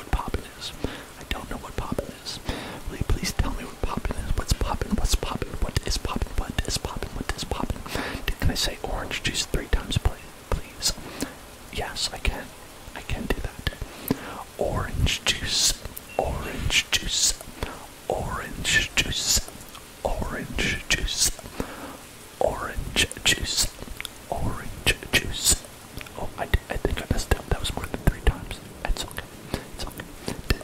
what poppin' is. I don't know what poppin' is. Will you please tell me what poppin' is? What's poppin'? What's poppin'? What is poppin'? What is poppin'? What is poppin'? Can I say orange juice three times, please? Yes, I can. I can do that. Orange juice. Orange juice. Orange juice. Orange juice. Orange juice. Orange juice. Oh, I, I think I messed up. That was more than three times. It's okay. It's okay.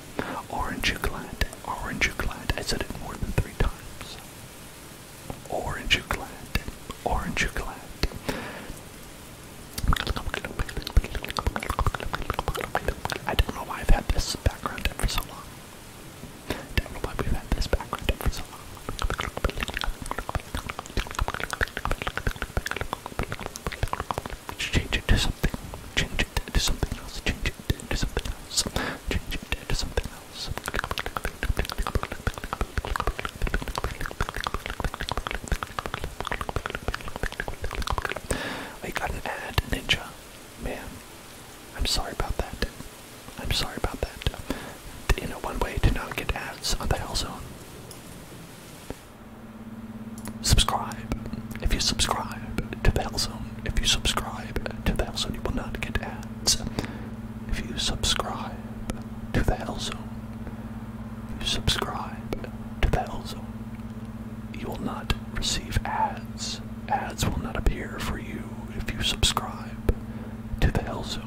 Orange glad. Orange glad. I said it more than three times. Orange glad. Orange glad. I don't know why I've had this background for so long. Don't know why we've had this background for so long. Change it something. Change it something else. Change it something else. Change it something else. I got an ad, Ninja. Man, I'm sorry about that. I'm sorry about that in a one-way to not get ads on the Hell Zone. Subscribe. If you subscribe to the Hell Zone, if you subscribe to the Hell Zone, you will not get ads. If you subscribe to the Hell Zone, you subscribe to the Hell Zone, you will not receive ads. Ads will not appear for you if you subscribe to the Hell Zone.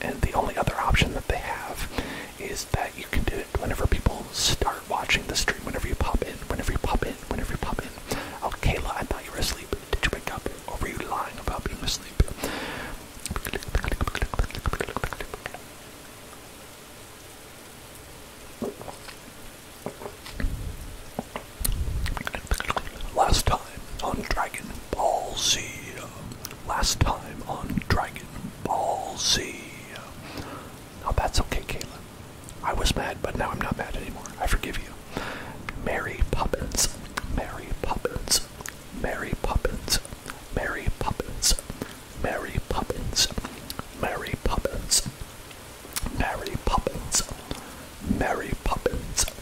and the only other option that they have is that you can do it whenever people start watching the stream, whenever you pop in, whenever you pop in, whenever you pop in. Oh, Kayla, I thought you were asleep. Did you wake up? Or were you lying about being asleep? Last time on Dragon Ball Z last time on Dragon Ball Z. Now oh, that's okay, Kayla. I was mad, but now I'm not mad anymore. I forgive you. Mary Poppins. Mary Poppins. Mary Poppins. Mary Poppins. Mary Poppins. Mary Poppins. Mary Poppins. Mary Poppins.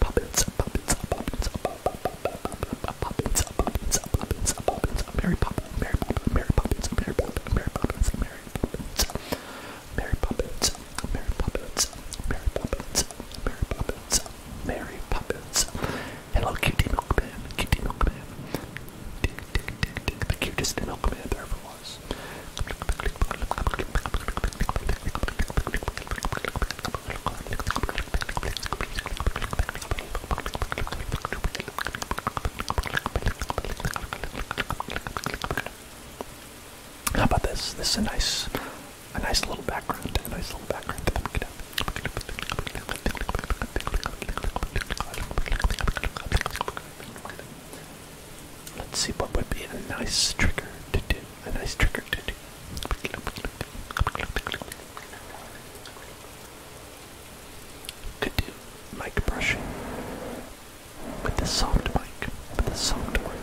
Puppets, puppets, puppets, puppets, puppets, puppets, Mary Poppins, Mary Poppins, Mary Poppins, Mary Poppins, Mary Poppins, Mary Poppins, Mary Poppins, Mary Poppins, Mary Poppins, Mary Poppins, Mary Poppins. Hello, Kitty Milkman, Kitty Milkman. Tick, tick, tick, tick, the cutest milkman there ever was. How about this? This is a nice, a nice little background. A nice little background. Let's see what would be a nice trigger to do a nice trigger to do. Could do mic brushing with the soft mic, with the soft one.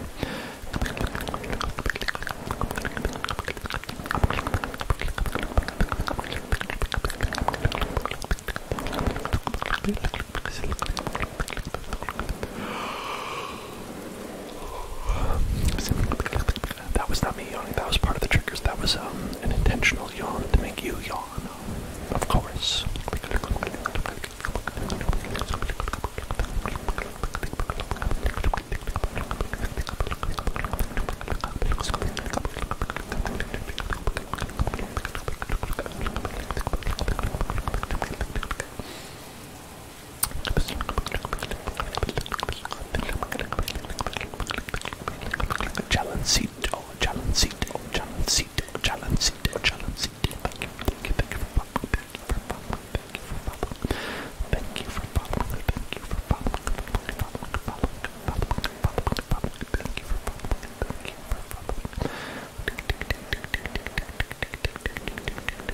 That was not me yawning, that was part of the triggers. That was um, an intentional yawn to make you yawn. Of course. Challenge seat, oh, challenge seat, oh, challenge seat, oh, challenge seat, oh, challenge seat. Thank you, thank you, thank you for popping, thank you for popping, thank you for popping, thank you for popping, thank you for popping, thank you for popping, thank you for popping, thank you for popping.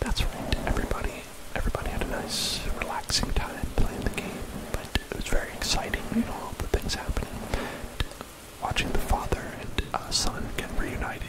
That's right, everybody. Everybody had a nice, relaxing time playing the game, but it was very exciting, you know, all the things happening. Watching the father and uh, son get reunited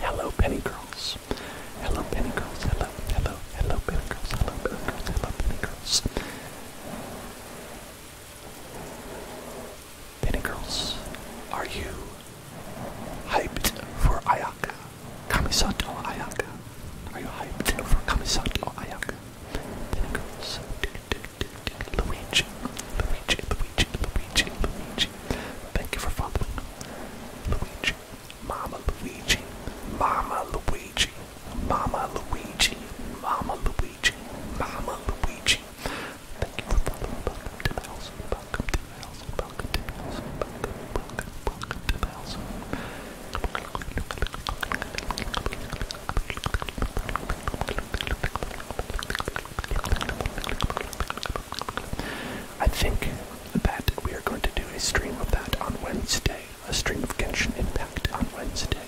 Hello, penny girls. Hello, penny girls. Hello, hello, hello, penny girls. Hello, penny girls. penny girls. Penny girls, are you hyped for Ayaka? Kamisato Ayaka. Are you hyped for Kamisato Ayaka? Penny girls. Luigi, Luigi, Luigi, Luigi, Luigi. Thank you for following. Luigi, Mama Luigi, Mama Luigi, Mama Luigi, Mama Luigi, Mama Luigi. Thank you for following. Welcome to the house. Welcome to the house. Welcome to the house. welcome, welcome to the house. I think that we are going to do a stream of that on Wednesday, a stream of Genshin Impact on Wednesday,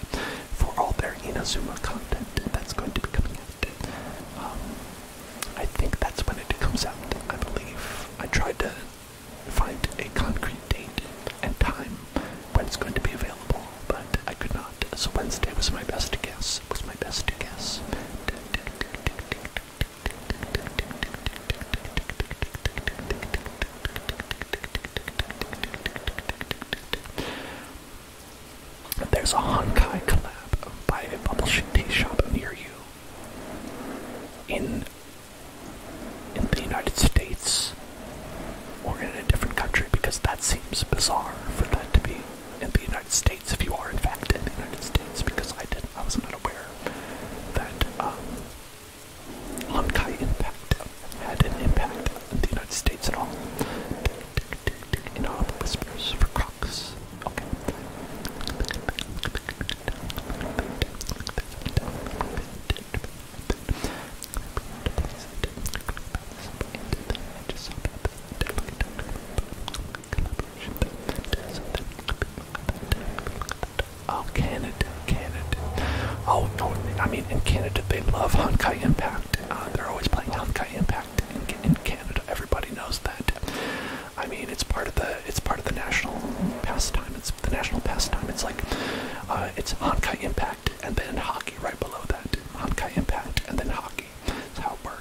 for all their Inazuma content that's going to be coming out. Um, I think that's when it comes out, I believe. I tried to find a concrete date and time when it's going to be available, but I could not so Wednesday was my best guess. Was my best guess. There's a Honkai collab by a publishing tea shop near you. In in the United States or in a different country because that seems bizarre for that to be in the United States, if you are in fact in the United States, because I didn't, I was not aware that um, Lumkai impact had an impact in the United States at all. whispers for crocs. Oh, Canada, Canada. Oh, no, I mean, in Canada, they love Honkai Impact. they're always playing Honkai Impact in, in Canada. Everybody knows that. I mean, it's part of the it's part of the national pastime. It's the national pastime. It's like it's Honkai Impact and then hockey right below that. Honkai Impact and then hockey. That's how it works.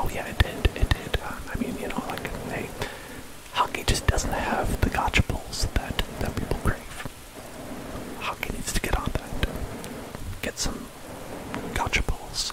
Oh yeah, it did. It did. Uh, I mean, you know, like hockey just doesn't have the gotcha balls that that people crave. Hockey needs to get on that. Get some gotcha balls.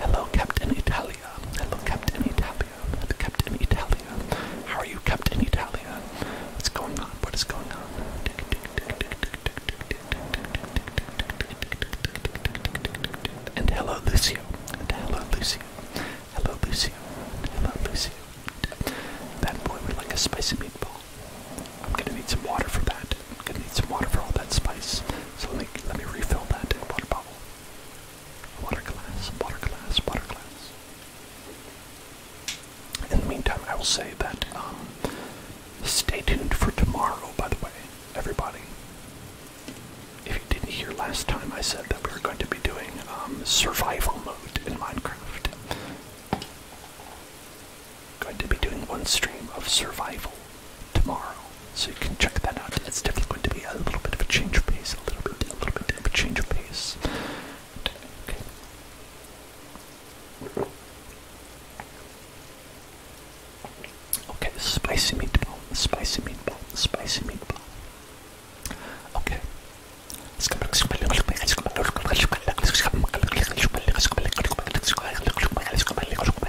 Hello, Captain Italia. Hello, Captain Italia. Captain Italia. How are you, Captain Italia? What's going on? What is going on? And hello, Lucio. And hello, Lucio. Hello, Lucio. Hello, Lucio. That boy would like a spicy meatball. I'm gonna need some water for that. I'm gonna need some water for all that spice. So let me refill that water bottle. Water glass, water glass, water glass. In the meantime, I will say that um, stay tuned for tomorrow. By the way, everybody, if you didn't hear last time, I said that we were going to be doing um, survival mode in Minecraft going to be doing one stream of survival tomorrow, so you can check that out. It's definitely going to be a little bit of a change of pace, a little bit, a little bit of a change of pace. Okay. Okay, spicy meatball, spicy meatball, spicy meatball. Okay.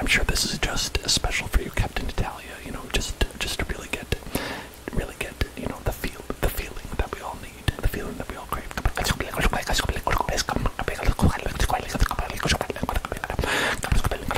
I'm sure this is just a special for you, Captain Italia. You know, just just to really get, really get, you know, the feel, the feeling that we all need, the feeling that we all crave.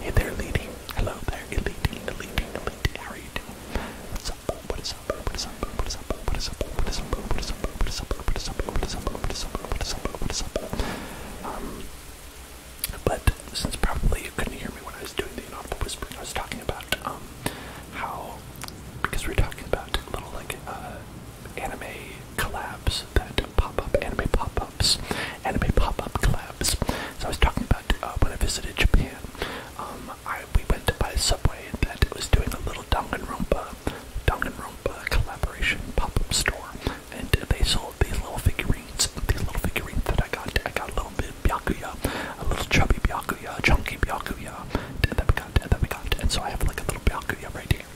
Hey there, lady. Hello there, lady, lady, lady. How are you doing? What's up? What's Buddhism, Buddhism, Buddhism, Buddhism, Buddhism, Buddhism, Buddhism, Buddhism, Buddhism, Buddhism, Buddhism, Buddhism. Um, but since probably you couldn't hear me when I was doing the inaudible whispering, I was talking about um how because we're talking about little like uh anime collabs that pop up, anime pop ups, anime pop up collabs. So I was talking about uh, when I visited Japan um, I, we went to buy a Subway that was doing a little Danganronpa, Danganronpa collaboration pop-up store, and they sold these little figurines, these little figurines that I got. I got a little bit Byakuya, a little chubby Byakuya, chunky Byakuya, and then we got, and then we got, and so I have like a little Byakuya right here.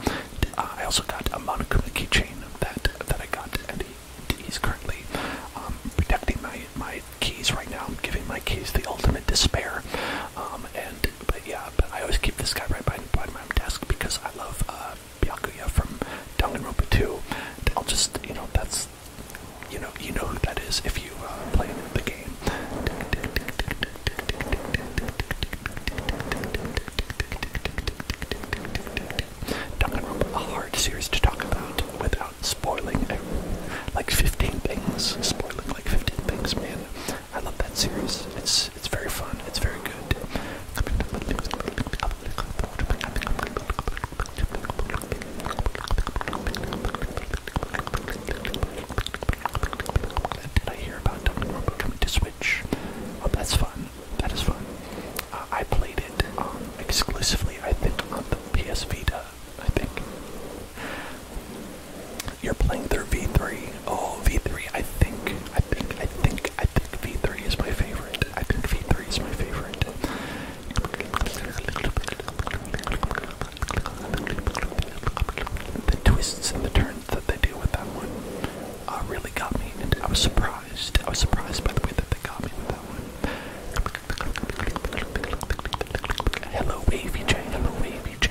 Uh, I also got a Monokuma keychain that that I got, and he, he's currently um, protecting my my keys right now. I'm giving my keys the ultimate despair. Um, and but yeah, but I always keep this guy right by, my desk because I love uh, Byakuya from Danganronpa 2. I'll just you know that's you know you know who that is if you uh, play the game. Danganronpa, a hard series to talk about without spoiling like 15 things, spoiling like 15 things, man. I love that series. It's it's very fun. It's very good. Did I hear about Dumbledore coming to Switch? Oh, that's fun. That is fun. Uh, I played it um, exclusively, I think, on the PS Vita. I think you're playing through V3. Oh, V3. I think, I think, I think, I think V3 is my favorite. I think V3 is my favorite. The twists and the turns that they do with that one uh, really got me, and I was surprised. I was surprised by the way that they got me with that one. Hello, AVJ. Hello, AVJ.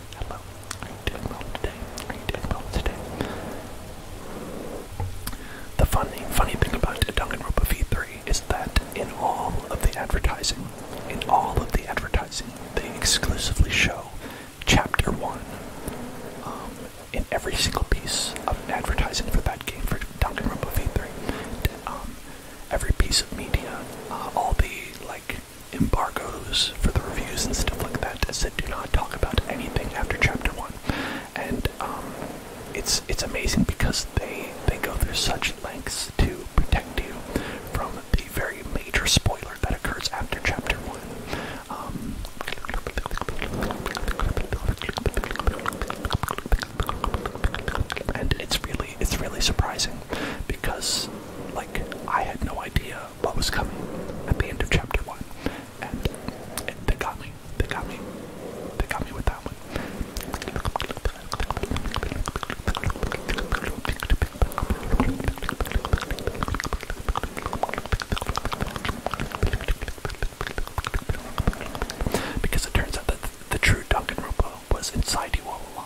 Hello. doing well today? Are you doing well today? The funny, funny thing about Duncan Ropa V3 is that in all of the advertising, in all of the advertising, they exclusively show Chapter 1 um, in every single piece of advertising for that game, for Danganronpa V3. Um, every piece of media, uh, all the, like, embargoes for the reviews and stuff like that, that do not talk about anything after chapter one, and um, it's it's amazing because they they go through such lengths to protect you from the very major spoiler that occurs after chapter one. Um, and it's really it's really surprising because like I had no idea what was coming at the end of chapter one. They got me. They got me. They got me with that one. Because it turns out that the, true Duncan Rupo was inside you all along.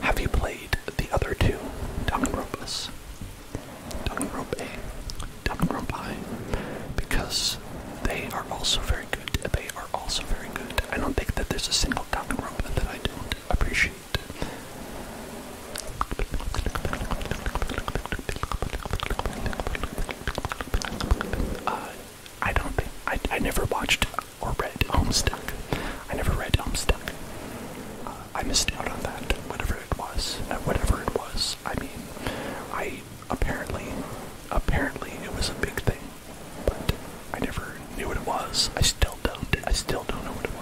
Have you played the other two Danganronpas? Danganronpa, Danganronpai, because they are also very good. They are also very good. I don't think that there's a single Danganronpa that I don't appreciate. Uh, I don't think I, I never watched or read Homestuck. I never read Homestuck. Uh, I missed out on that. Whatever it was, uh, whatever it was. I mean, I apparently, apparently it was a big thing, but I never knew what it was. I still don't. I still don't know what it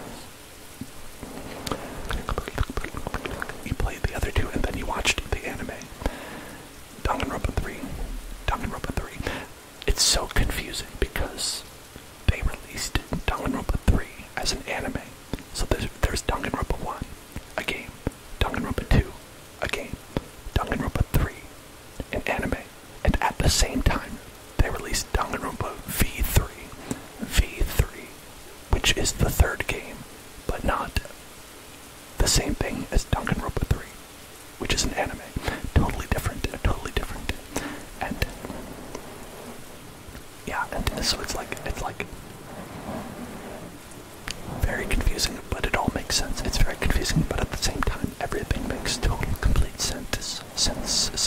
was. You played the other two, and then you watched the anime. Danganronpa 3, Danganronpa 3. It's so confusing because they released Danganronpa 3 as an anime. So there's, there's Danganronpa 1, a game, Danganronpa 2, a game, Danganronpa 3, an anime, and at the same time, they released Danganronpa V3, V3, which is the third game, but not the same thing as Danganronpa 3 which is an anime, totally different, totally different, and yeah, and so it's like it's like very confusing, but it all makes sense. It's very confusing, but at the same time, everything makes total, complete sense, sense, sense,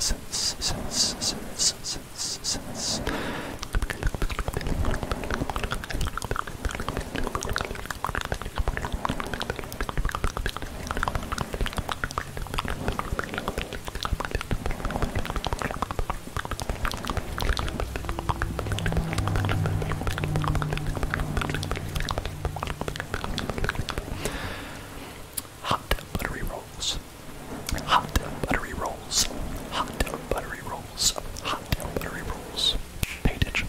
sense, sense, sense, sense, sense. Hot buttery rolls. Hot buttery rolls. Hot buttery rolls. Hot buttery rolls. Pay attention.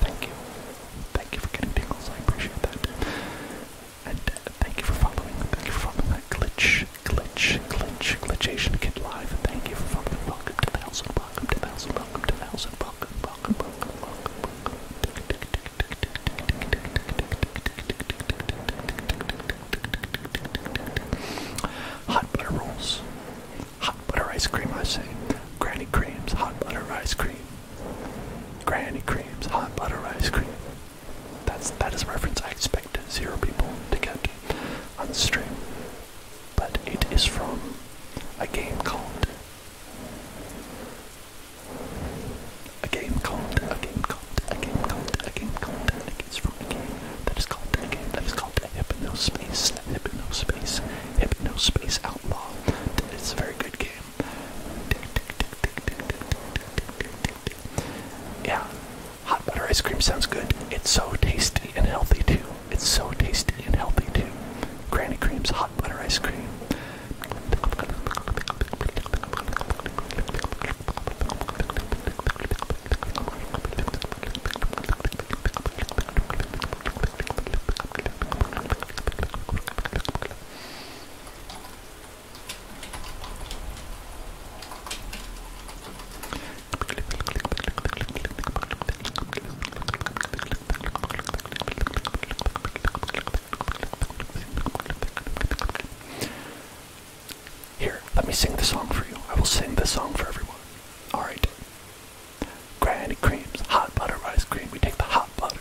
Thank you. Thank you for getting tingles, I appreciate that. And uh, thank you for following, thank you for following that glitch, glitch, glitch, glitchation kid live. Thank you for following, welcome to thousand, welcome to thousand, welcome to thousand, welcome, welcome, welcome, welcome, welcome. Hot butter rolls. Hot butter ice cream, I say. Granny creams, hot butter ice cream. Granny creams, hot butter ice cream. That's that is a reference I expect zero people to get on the stream. But it is from a game called a game called a game called a game called a game called and it is from a game that is called a game that is called a hypnospace, a hypnospace, hypnospace outlaw. It's a very good game. Yeah, hot butter ice cream sounds good. It's so tasty and healthy too. It's so tasty and healthy too. Granny Cream's hot butter ice cream. Here, let me sing the song for you. I will sing the song for everyone. Alright. Granny creams, hot butter ice cream. We take the hot butter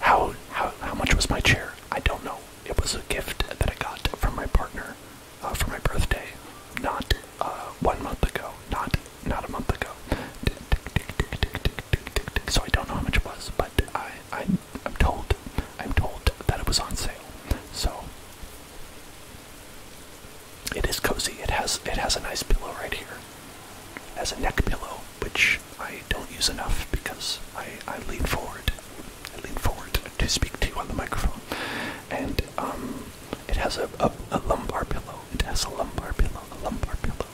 How how how much was my chair? I don't know. It was a gift that I got from my partner uh, for my birthday, not uh, one month ago, not not a month ago. So I don't know how much it was, but I, I am told I'm told that it was on sale. So it is cozy. It has it has a nice pillow right here has a neck pillow, which I don't use enough because I, I lean forward. I lean forward to speak to you on the microphone. And um, it has a, a, lumbar pillow. It has a lumbar pillow. A lumbar pillow.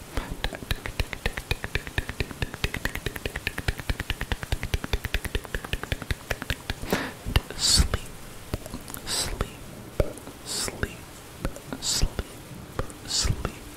sleep. Sleep. Sleep. Sleep. Sleep.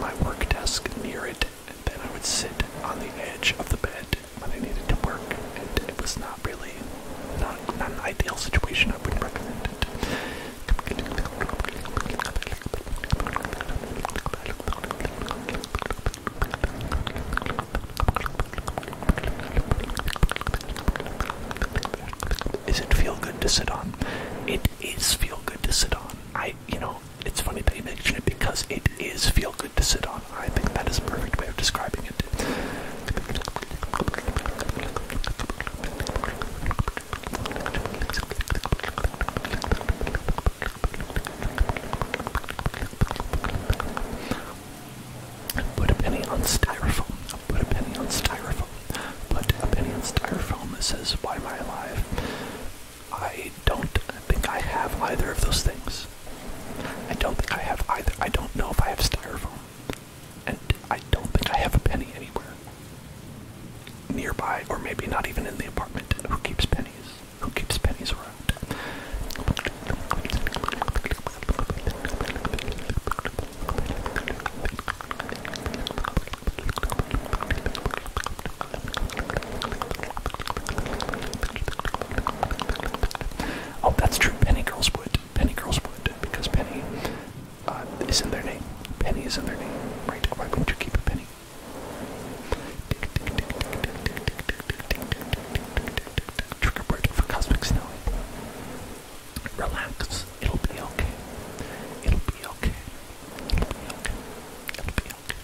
my work desk near it, and then I would sit on the edge of the bed when I needed to work, and it was not really not, not an ideal situation. I would recommend it. Is it feel good to sit on? It is feel good to sit on. I, you know, it's funny that you mention it because it is feel good to sit on. I think that is a perfect way of describing it. Put a penny on styrofoam. Put a penny on styrofoam. Put a penny on styrofoam. It says, Why am I I don't think I have either of those things. I don't think I have either. I don't know if I have styrofoam. And I don't think I have a penny anywhere nearby, or maybe not even in the apartment. Who keeps pennies? Who keeps pennies around? Oh, that's true. Penny Girls would. Penny Girls would. Because Penny uh, is in their name. Penny is in their name. Right? Why wouldn't you keep a penny? Trigger word for cosmic snow. Relax. It'll be okay. It'll be okay. It'll be okay. It'll be okay.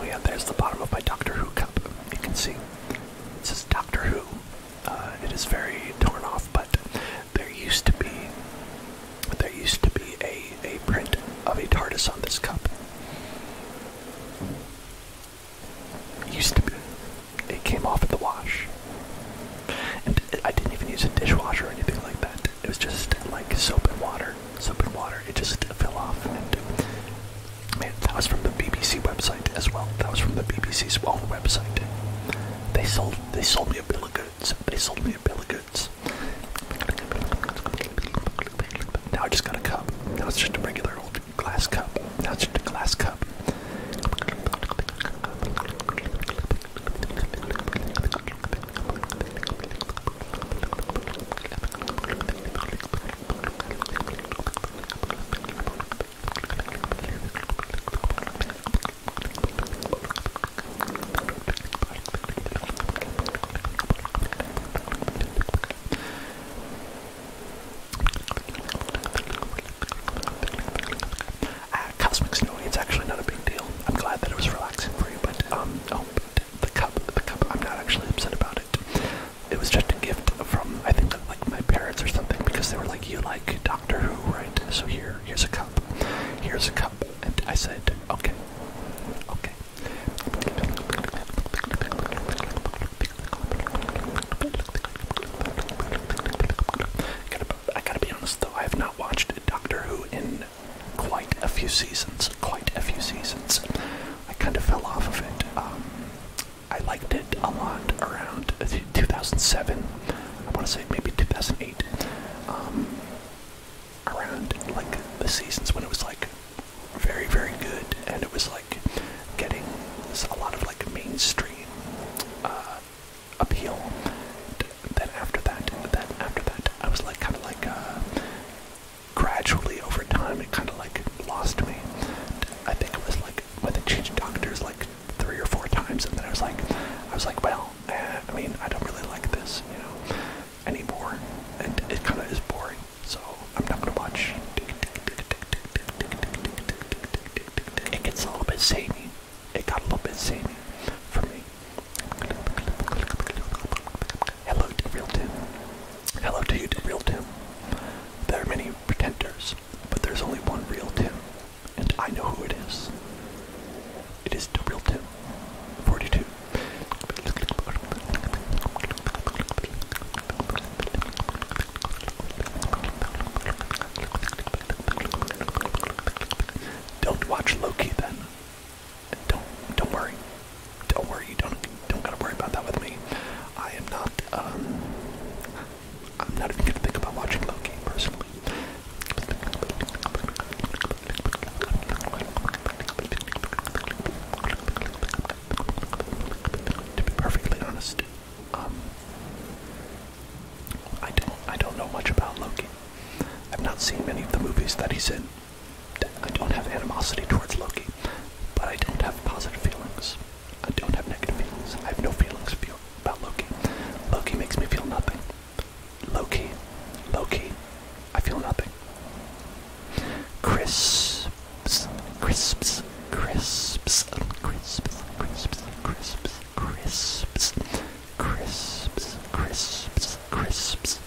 Oh yeah, there's the bottom of my Doctor Who cup. You can see it says Doctor Who. Uh, it is very torn off, but there used to be there used to be a a print of a TARDIS on this cup. It used to be. It came off at the wash, and I didn't even use a dishwasher or anything like that. It was just like soap and water soap and water. It just fell off. And, man, that was from the BBC website as well. That was from the BBC's own website. They sold they sold me a bill of goods. They sold me a bill of goods. Now I just got a cup. Now it's just a regular old glass cup. Now it's just a glass cup. Uh, cosmic snow, it's actually not a big deal. I'm glad that it was relaxing for you, but um, but oh, the cup, the cup, I'm not actually upset about it. It was just a gift from, I think, like my parents or something, because they were like, you like Doctor Who, right? So here, here's a cup. Here's a cup. And I said, okay, okay. I gotta be honest though, I have not watched Doctor Who in quite a few seasons, quite a few seasons. I kind of fell off of it. Um, I liked it a lot around 2007. I want to say maybe 2008. Um, around like the seasons when it was like very, very good, and it was like getting a lot of like mainstream uh, appeal. Then after that, then after that, I was like kind of like uh, gradually over time it kind of like lost me. I think it was like when they changed doctors like three or four times, and then I was like, I was like, well, eh, I mean, I don't really like this, you know, anymore, and it kind of is boring. So I'm not gonna watch. It gets a little bit samey. It got a little bit samey for me. Hello to real Tim. Hello to you, to real Tim. There are many pretenders, but there's only one real Tim, and I know who it is. It is the real Tim, 42. Don't watch Loki then don't don't worry, don't worry. You don't don't gotta worry about that with me. I am not. Um, I'm not even gonna think about watching Loki personally. To be perfectly honest, um, I don't I don't know much about Loki. I've not seen many of the movies that he's in. I don't have animosity towards Loki, but I don't have positive feelings. I don't have negative feelings. I have no feelings feel about Loki. Loki makes me feel nothing. Loki, Loki, I feel nothing. Crisps, crisps, crisps, crisps, crisps, crisps, crisps, crisps, crisps, crisps, crisps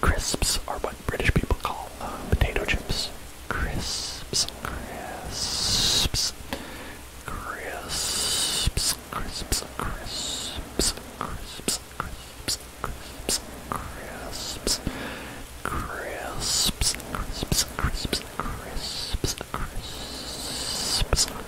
Crisps are what British people call potato chips. Crisps, crisps, crisps, crisps, crisps, crisps, crisps, crisps, crisps, crisps, crisps, crisps, crisps, crisps, crisps,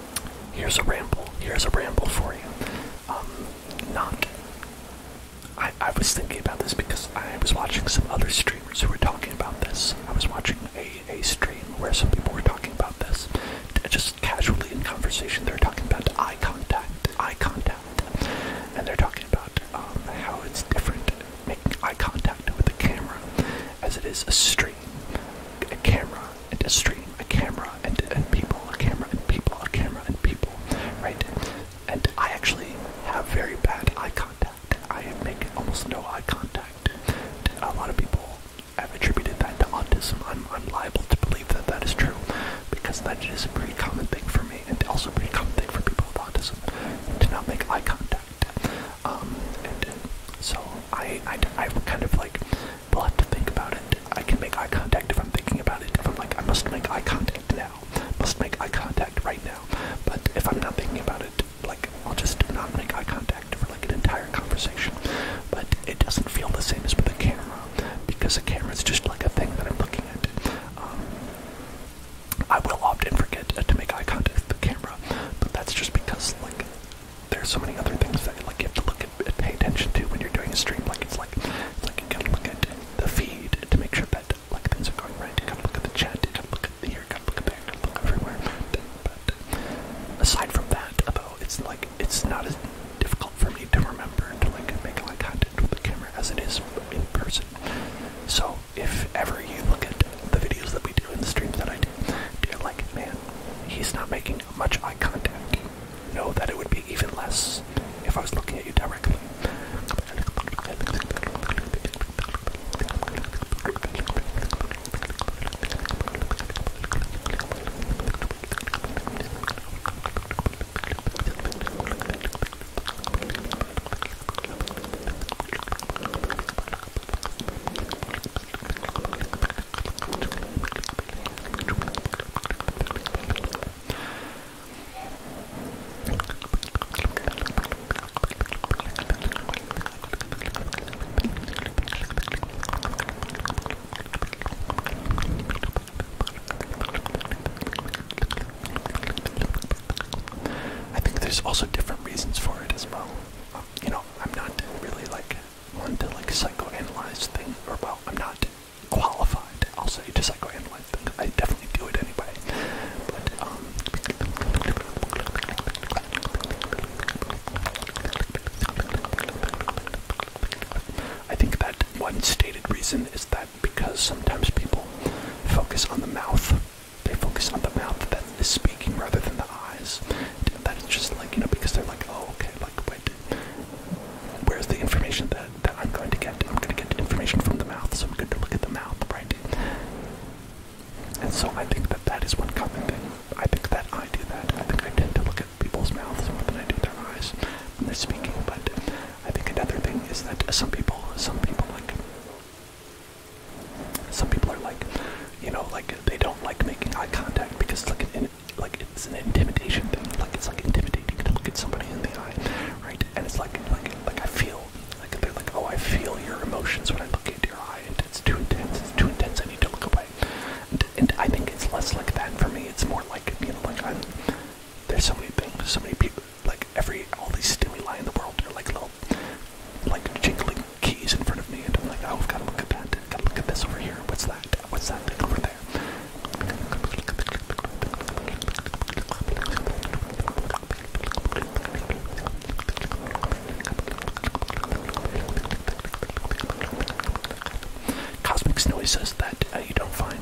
Here's a ramble. Here's a ramble for you. Um, not. I, I was thinking about this because I was watching some other streamers who were talking about this. I was watching a, a stream where some people were talking about this. Just casually in conversation, they're talking about eye contact. Eye contact. And they're talking about um, how it's different making eye contact with a camera as it is a stream. A camera and a stream, a camera, and, and people, a camera, and people, a camera, and people, right? And I actually have very bad eye contact. I make almost no eye contact. A lot of people have attributed that to autism. I'm, I'm liable to believe that that is true because that is a pretty common thing for me and also a pretty common thing for people with autism to not make eye contact. Um, and so I, I, I kind of like We'll have to think about it. I can make eye contact if I'm thinking about it. If I'm like, I must make eye contact now. Must make eye contact right now. But if I'm not thinking about it, like, I'll just not make eye contact for like an entire conversation. But it doesn't feel the same as with a camera because a camera is just like a thing that I'm looking at. Um, I will often forget to make eye contact with the camera, but that's just because, like, there's so many other things that like you have to look at, and pay attention to when you're doing a stream. Like it's like it's like you gotta look at the feed to make sure that like things are going right. You gotta look at the chat. You gotta look at here. You gotta look at there. You gotta look everywhere. But aside from that, though, it's like it's not as difficult for me to remember to like make eye contact with the camera as it is in person. So if ever you look at the videos that we do in the streams that I do, you're like, man, he's not making much eye contact know that it would be even less if I was looking at you directly. I think there's also different reasons for it as well. you know, I'm not really like one to like psychoanalyze things, or well, I'm not qualified, I'll say, to psychoanalyze things. I definitely do it anyway. But, um, I think that one stated reason is that because sometimes people focus on the mouth, they focus on the mouth that is speaking rather than the eyes. That's just like, you know, because they're like, oh, okay, liquid. Where's the information that, that I'm going to get? I'm going to get information from the mouth, so I'm going to look at the mouth, right? And so I think that that is one common thing. I think that I do that. I think I tend to look at people's mouths more than I do their eyes when they're speaking. But I think another thing is that some people, some people like, some people are like, you know, like they don't like making eye contact because it's like an like it's an intimidation thing. Like it's like intimidating to look at somebody in the eye, right? And it's like like like I feel like they're like oh I feel your emotions when I look into your eye. And it's too intense. It's too intense. I need to look away. And, I think it's less like that for me. It's more like being like I'm there's so many things, so many people like every all these stimuli in the world are like little like jingling keys in front of me and I'm like oh I've got to look at that. I've got to look at this over here. What's that? What's that thing over there? Cosmic noises that uh, you don't find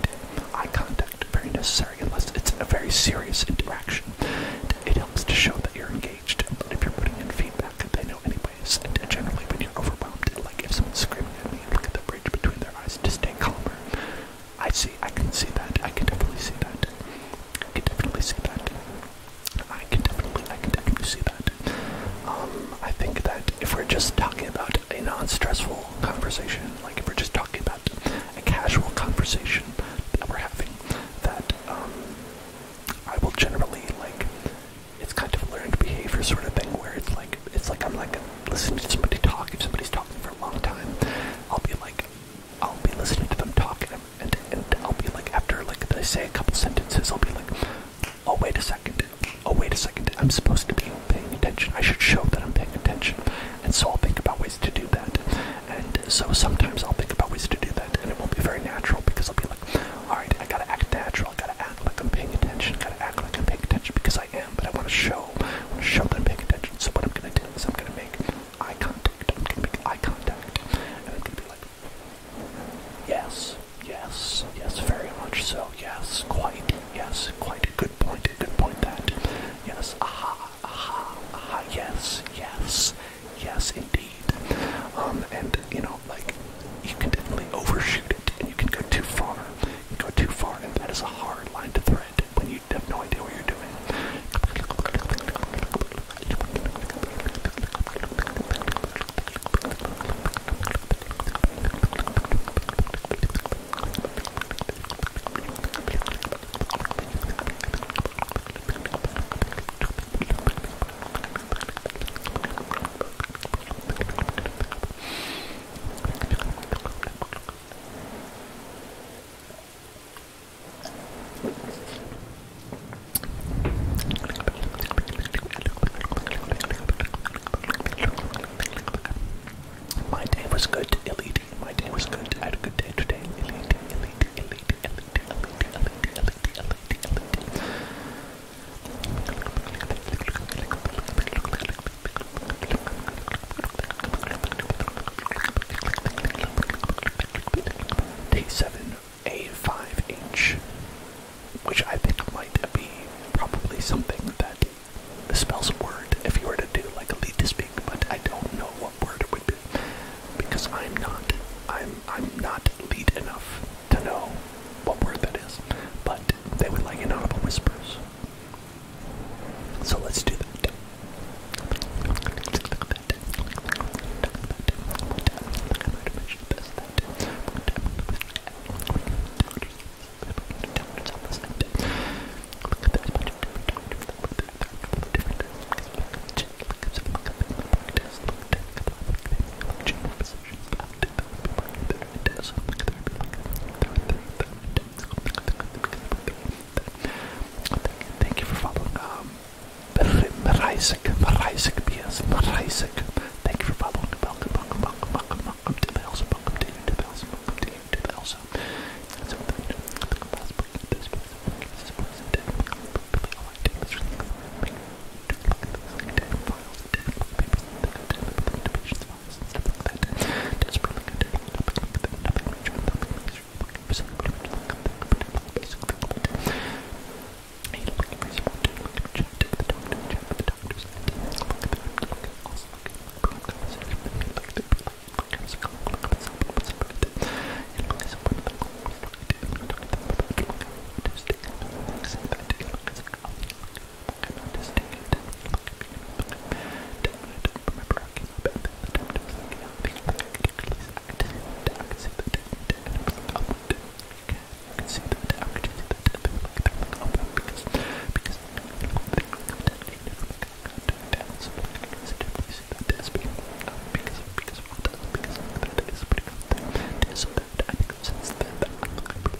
eye contact very necessary unless it's a very serious interaction. It helps to show that you're engaged, but if you're putting in feedback, they know any and generally when you're overwhelmed and like if someone's screaming at me look at the bridge between their eyes and just stay calmer. I see I can see that. I can definitely see that. I can definitely see that. I can definitely I can definitely see that. Um I think that if we're just talking about a non-stressful conversation, like if we're just talking about a casual conversation that we're having, that um I will generally like it's kind of a learned behavior sort of thing where it's like it's like I'm like listening to somebody talk. If somebody's talking for a long time, I'll be like I'll be listening to them talk and and, and I'll be like after like they say a couple sentences, I'll be like, oh wait a second, oh wait a second, I'm supposed to be paying attention. I should show that I'm paying attention. And so I'll think about ways to do that. And so sometimes I'll think about ways to do that, and it won't be very natural because I'll be like, all right, I gotta act natural girl. I gotta act like I'm paying attention. Gotta act like I'm paying attention because I am, but I wanna show. I wanna show that I'm paying attention. So what I'm gonna do is I'm gonna make eye contact. I'm gonna make eye contact. And I'm gonna be like, yes, yes, yes, very much so. Yes, quite, yes, quite. a Good point, good point that. Yes, Ah aha, Ah aha, yes, yes, yes, indeed. Um, and, you know, like, you can definitely overshoot you can go too far. You can go too far, and that is a hard line to thread when you have no idea what you're doing. My day was good, elite. My day was good. I had a good day today. Elite, elite, elite, elite, elite, elite, elite, elite, elite, elite. D7A5H, which I think might be probably something that spells a word if you were to do like a lead to speak, but I don't know what word it would be because I'm not I'm I'm not lead enough to know what word that is. But they would like inaudible whispers. So let's do that. Thank you for following. Um, Maraisik, Maraisik, BS, Maraisik. Thank you for following. Welcome, welcome, welcome, welcome, welcome to Bells, welcome to you, to Bells, welcome to you, stuff like that. That's probably good. Look at I noticed it. I don't remember how I came about that. The time was like, yeah, I think I can release that. I can see that. And I was like, oh, I do. I can see that. I can see that. And they were like, they're like, oh, well, because, because, you know, they don't have that. They never like, I can't do it down. So I can definitely see that. That's because, um, because, because, well, that's because that is pretty good. There's so that. I think since then, I'm like,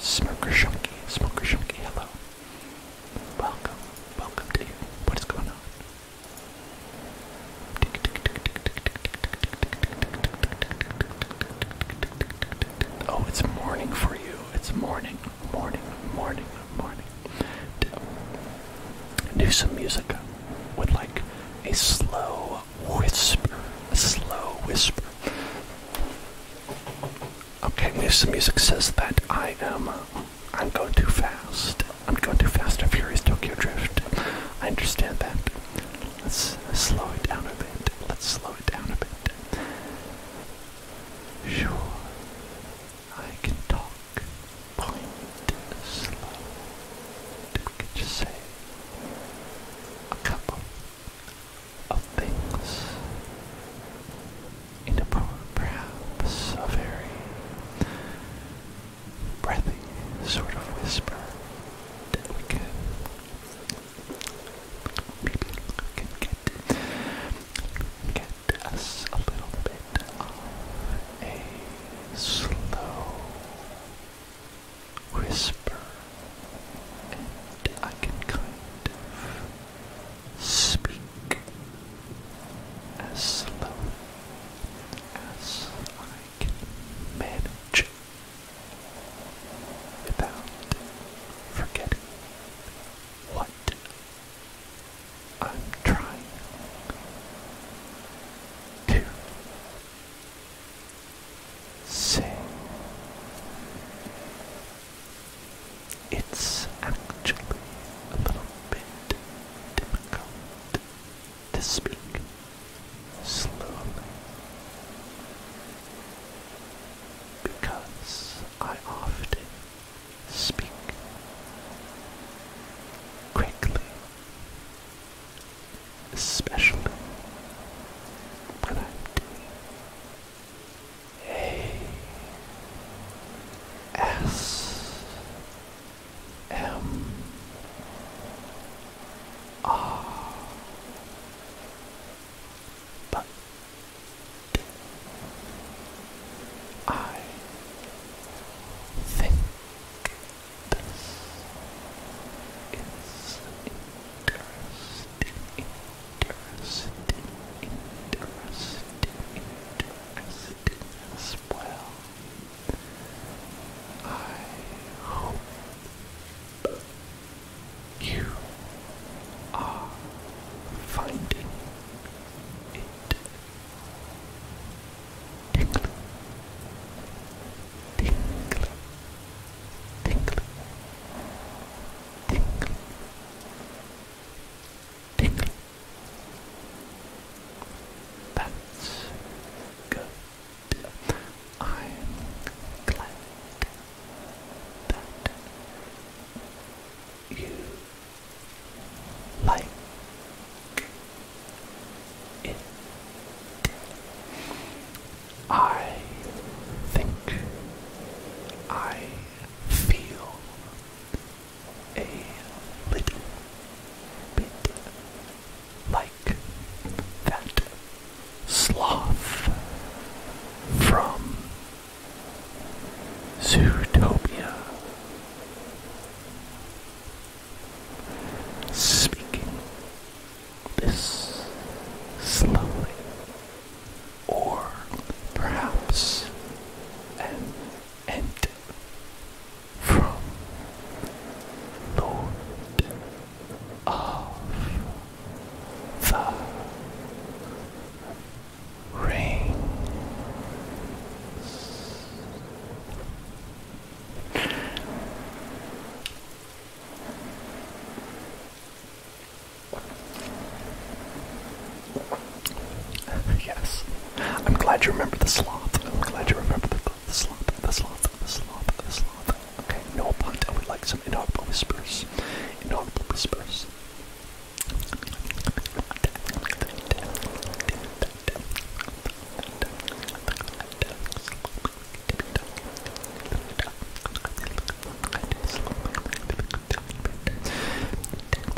Smoker Shunky, Smoker Shunky, hello. Welcome, welcome to you. What is going on? Oh, it's morning for you. It's morning, morning, morning, morning. Do some music with like a slow whisper. A slow whisper. Okay, some music says that I am I'm going too fast. I'm going too fast and furious Tokyo Drift. I understand that. Let's slow it down a bit. Let's slow it down a bit. Sure. I can talk. Point slow. Could you say a couple of things? into perhaps a very breathy sort of whisper that we can maybe can get get us a little bit of a slow whisper and I can kind of speak as slow as I can manage without forgetting what I'm trying to say. It's actually a little bit difficult to speak slowly because I often speak quickly, especially when I'm doing A S M R but I think this is interesting, interesting, interesting, interesting, well. I hope you are finding it tingly, tingly, tingly, tingly, tingly. That's good. I'm glad that you like it. I think I feel a little bit like that sloth from Zootopia. Speaking this slowly, or perhaps an and from Lord of the Rings. yes. I'm glad you remember the sloth. I'm glad you remember the, the sloth, the sloth, the sloth, the sloth. Okay, no punt. I would like some inaudible whispers. Inaudible whispers.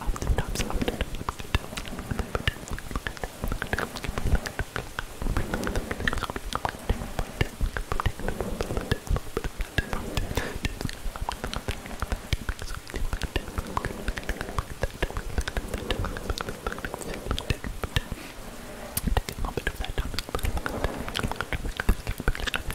oftentimes, oftentimes, Take a little bit of that down.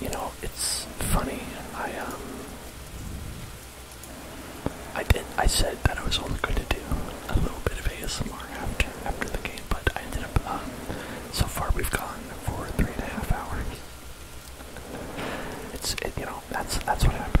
You know, it's funny. I um, I did. I said that I was only going to do a little bit of ASMR after after the game, but I ended up. Um, so far, we've gone for three and a half hours. It's you know that's that's what happens.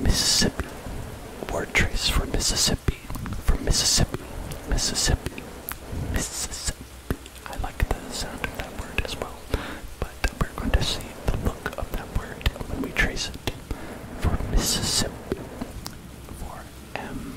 Mississippi. Word trace for Mississippi. for Mississippi. Mississippi. Mississippi. I like the sound of that word as well. But we're going to see the look of that word when we trace it. For Mississippi. For M.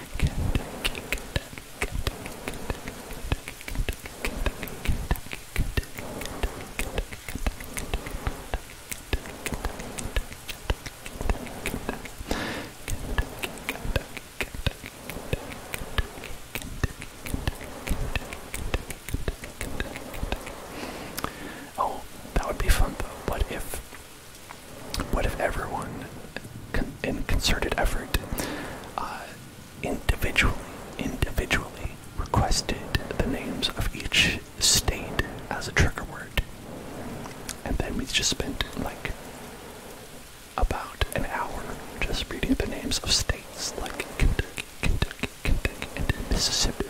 Kentucky, Kentucky, Kentucky, Kentucky, Kentucky, Oh, that would be fun though. What if what if everyone, in concerted effort, uh, individually, individually requested the names of each state as a trigger word? And then we just spent like about an hour just reading the names of states like Kentucky, Kentucky, Kentucky, Mississippi,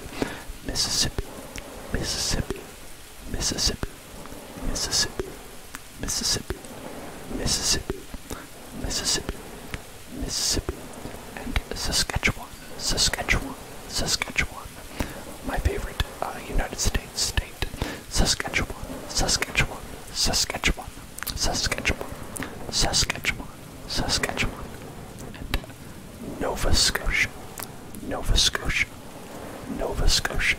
Mississippi, Mississippi, Mississippi. Mississippi, Mississippi, Mississippi, Mississippi, Mississippi, and Saskatchewan, Saskatchewan, Saskatchewan. My favorite uh, United States state, Saskatchewan, Saskatchewan, Saskatchewan, Saskatchewan, Saskatchewan, Saskatchewan, and Nova Scotia, Nova Scotia, Nova Scotia,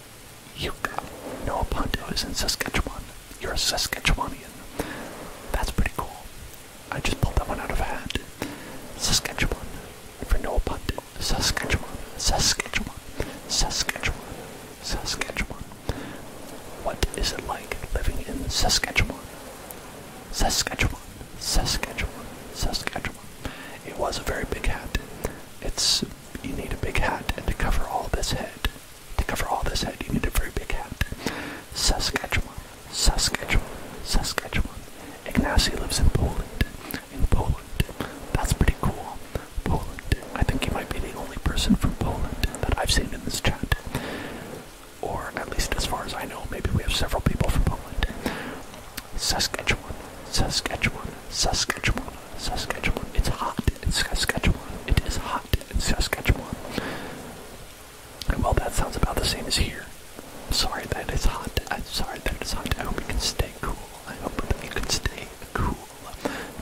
Yucca. Noah Ponto is in Saskatchewan. You're a Saskatchewanian. That's pretty cool. I just pulled that one out of a hat. Saskatchewan. For Noah Ponto. Saskatchewan. Saskatchewan. Saskatchewan. Saskatchewan. What is it like living in Saskatchewan? Saskatchewan. Saskatchewan. Saskatchewan. It was a very big hat. It's you need a big hat, and to cover all this head, to cover all this head, you need a very big hat. Saskatchewan, Saskatchewan, Saskatchewan. Ignacy lives in Poland. In Poland, that's pretty cool. Poland. I think you might be the only person from Poland that I've seen in this chat, or at least as far as I know. Maybe we have several people from Poland. Saskatchewan, Saskatchewan. Saskatchewan, Saskatchewan. It's hot in Saskatchewan. It is hot in Saskatchewan. Well, that sounds about the same as here. I'm sorry that it's hot. I'm sorry that it's hot. I hope you can stay cool. I hope that you can stay cool.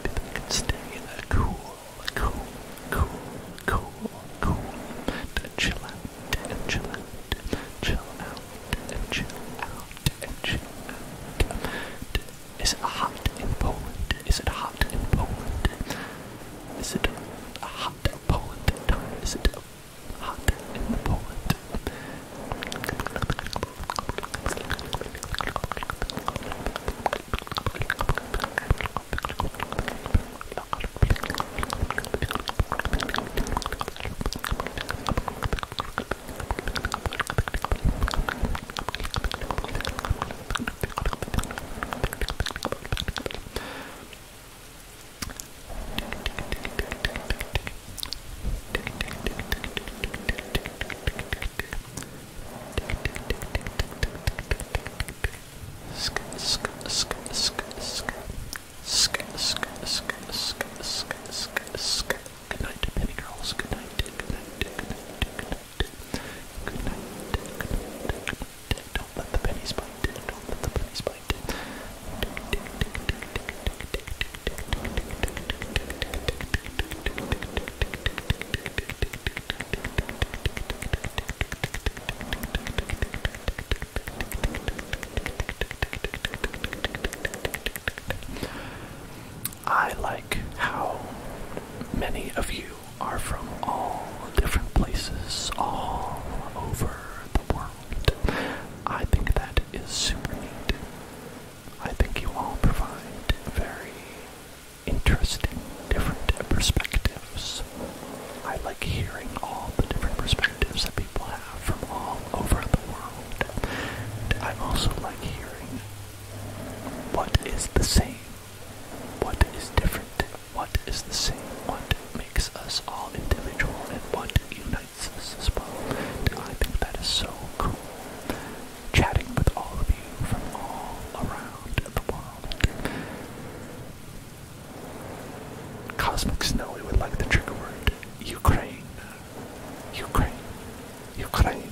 People can stay cool, cool, cool, cool, cool. To chill out, and chill out, chill out, and chill out is it hot in Poland? Is it hot in Poland? Is it hot in Poland? Is it hot in Poland? Good night, baby girls. Good night. Good night. Good night. Good night. Good night. Good night. Good night. Don't let the pennies bite. Don't let the pennies bite. I like how many of you are from all different places all over the world. I think that is super neat. I think you all provide very interesting different perspectives. I like hearing all the different perspectives that people have from all over the world. And I also like hearing what is the same? What is different? What is the same? What makes us all individual and what unites us as well? I think that is so cool. Chatting with all of you from all around the world. Cosmic Snowy would like the trigger word Ukraine. Ukraine. Ukraine.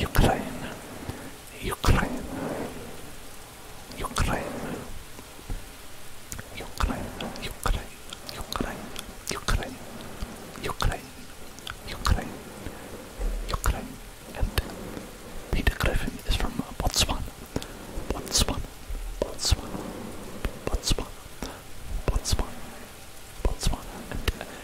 Ukraine, Ukraine, Ukraine, Ukraine, Ukraine, Ukraine, Ukraine, Ukraine, Ukraine, Ukraine, and Peter Griffin is from Botswana, Botswana, Botswana, Botswana, Botswana, Botswana, and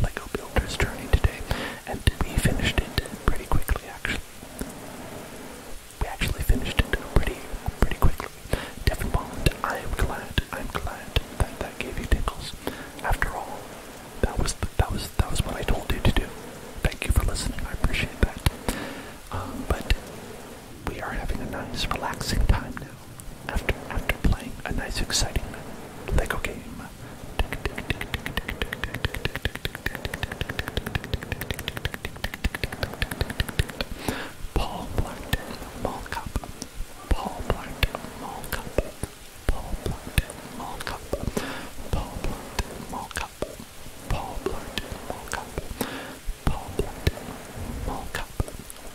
Lego Builder's Journey today, and we finished it pretty quickly actually. We actually finished it pretty pretty quickly. Devin I am glad, I'm glad that that gave you tickles. After all, that was the, that was that was what I told you to do. Thank you for listening. I appreciate that. Um, but we are having a nice relaxing time now after after playing a nice exciting Lego game. Paul Blackton Mall Cup. Paul Blackton Mall Cup. Paul Blackton Mall Cup. Paul Blackton Mall Cup. Paul Blackton Mall Cup. Paul Blackton Mall Cup.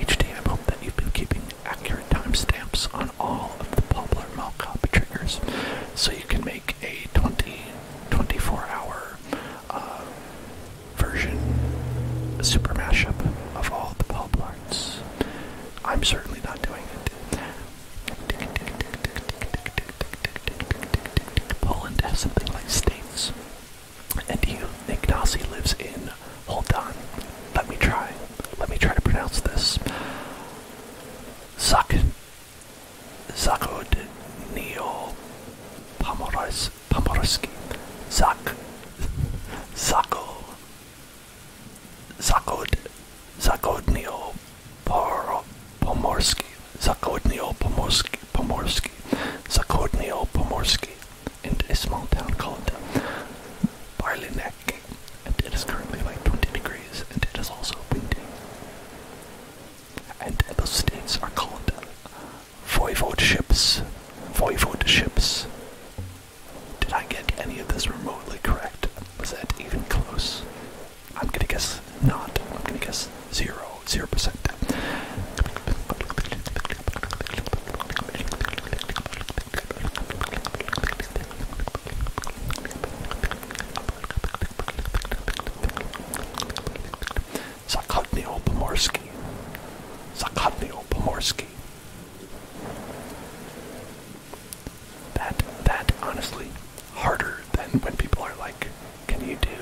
Each I hope that you've been keeping accurate timestamps on all of the Poplar Mockup triggers so you can make a 20, 24 hour uh, version, super mashup of all the Poplarts. I'm certainly not doing it. Poland has something like states and he, Ignacy lives in, hold on, let me try, let me try to pronounce this, Zak, Zakodnio Pomorowski, Pomorowski, Zak, Zako, Zakod, Zakodnio Pomorowski, Zakodnio Pomorski. Pomorski, Zakornio Pomorski, and a small town called Barlinek. And it is currently like 20 degrees, and it is also windy. And those states are called voivodeships. Voivodeships. Did I get any of this remotely correct? Was that even close? I'm gonna guess not. I'm gonna guess zero zero percent. Zachodnio Pomorski. Zachodnio Pomorski. That that honestly harder than when people are like, can you do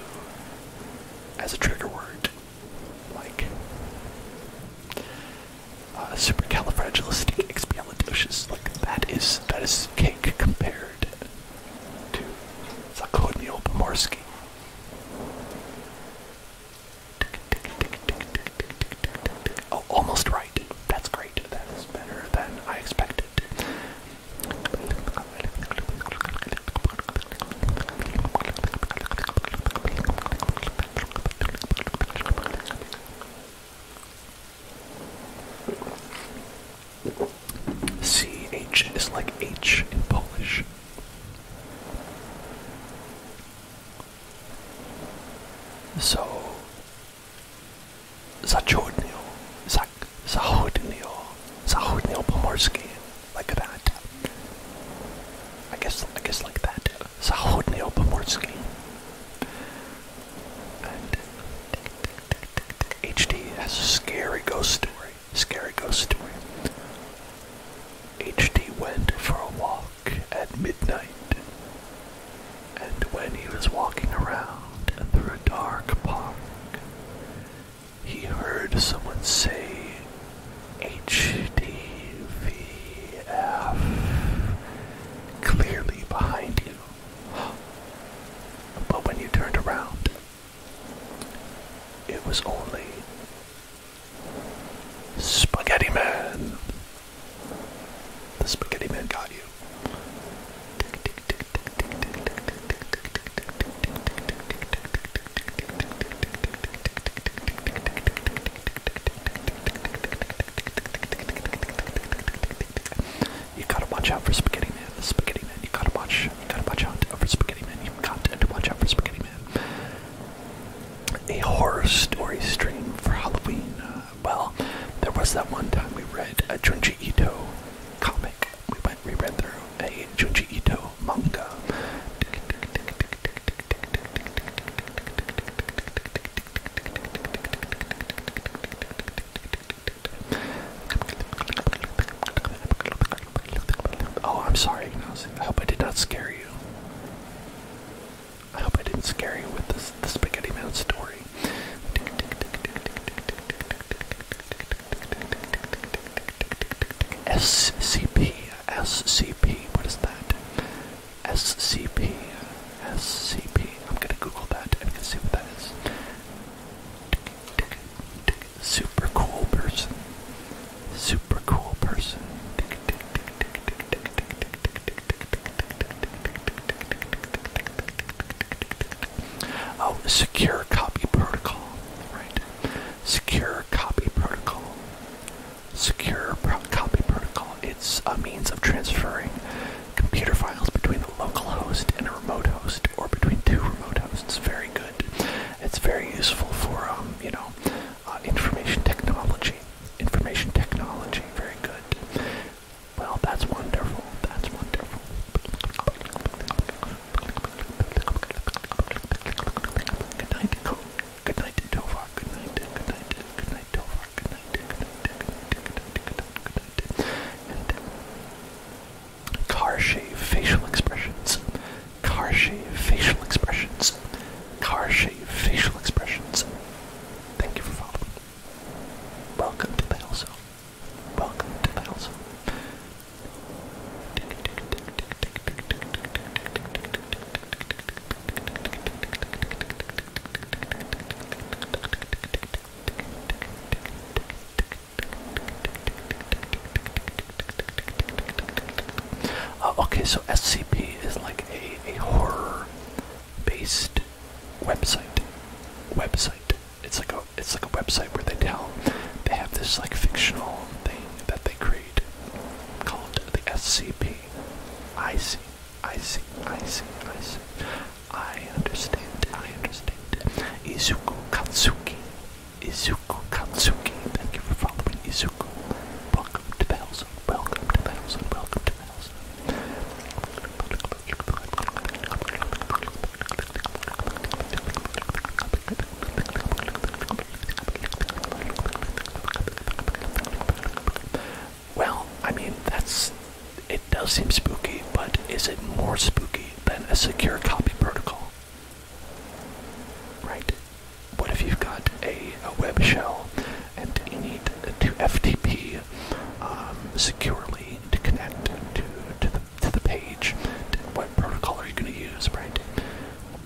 as a trigger word like uh, supercalifragilisticexpialidocious. Like that is that is cake compared to Zakodnil Pomorski. Oh, almost right. That's great. That is better than I expected. CH is like H in Polish. So, zachodnio, zak, zachodnio, zachodnio pomorski like that. I guess, I guess like that. Zachodnie Obomorsky. And HD has a scary ghost story. Scary ghost story. HD went for a walk at midnight. And when he was walking around through a dark park, he heard someone say HDVF clearly behind you. But when you turned around, it was only Spaghetti Man. The Spaghetti Man got you. You gotta watch out for Spaghetti Man. Spaghetti Man. You gotta watch. You gotta watch out for Spaghetti Man. You got to watch out for Spaghetti Man. A horror story stream for Halloween. Uh, well, there was that one time we read a Junji Ito comic. We went, we read through a Junji Ito manga. Oh, I'm sorry, I hope I did not scare you. I hope I didn't scare you with this the Spaghetti Man story. SCP, SCP, what is that? SCP, SCP. I'm gonna Google that and see what that is. Super cool person. Super cool person. Oh, secure copy protocol. Right. Secure copy protocol. Secure copy protocol. It's a means of transferring computer files between a local host and a remote host, or between two remote hosts. Very good. It's very useful for, um, you know, uh, information technology. Information technology. Very good. Well, that's wonderful. That's wonderful. Good night, Tova. Good night. Good night. Good night, Tova. Good night. Good night. Good night. Good night. Good night. Good night. Good night. And car shave facial expressions. Car shave facial expressions. Car shave facial expressions. Thank you for following. Welcome to Battle Zone. Welcome to Battle Zone. Uh, okay, so SCP is like a, a horror-based website. Website. It's like a it's like a website where they tell they have this like fictional thing that they create called the SCP. I see, I see, I see, I see. I understand, I understand. Izuku Katsuki. Izuku Katsuki. Thank you for following Izuku. Welcome to the house. Welcome to the house. Welcome to the house. Well, I mean, that's. It does seem spooky, but is it more spooky than a secure copy protocol? Right? What if you've got a, a web shell and you need to FTP um, securely to connect to, to, the, to the page? What protocol are you going to use, right?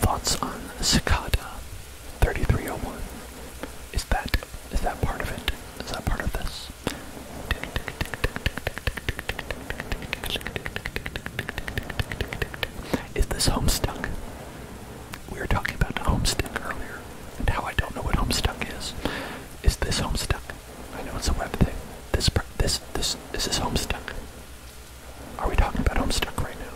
Thoughts on cicada 3301? Is that is that part of it? Is that part of this? Is this Homestuck? We were talking about Homestuck earlier, and how I don't know what Homestuck is. Is this Homestuck? I know it's a web thing. This this this is this Homestuck. Are we talking about Homestuck right now?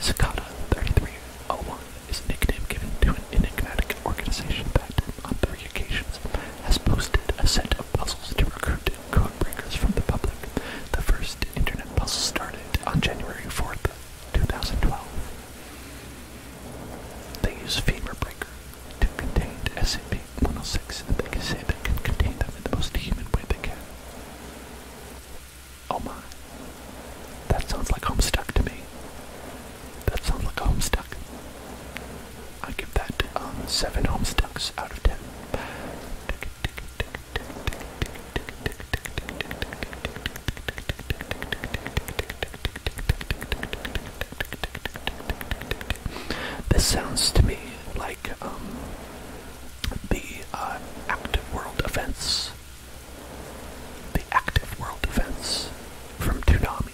Cicada 3301 is a nickname given to an enigmatic organization that, on three occasions, has posted a set of puzzles to recruit codebreakers from the public. The first internet puzzle started on January 4th, 2012. They use Famer Breaker to contain SCP-106, and they can say they can contain them in the most human way they can. Oh my. That sounds like Homestuck to me. That sounds like a homestuck. I give that um, seven homestucks out of ten. This sounds to me like um, the uh, active world events. The active world events from Toonami.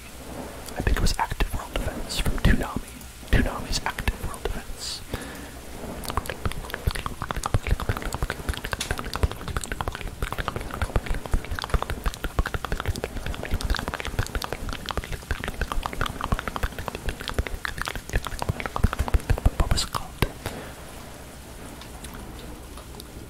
I think it was Active World Defense from Toonami. Toonami's Active World Defense. What was it called?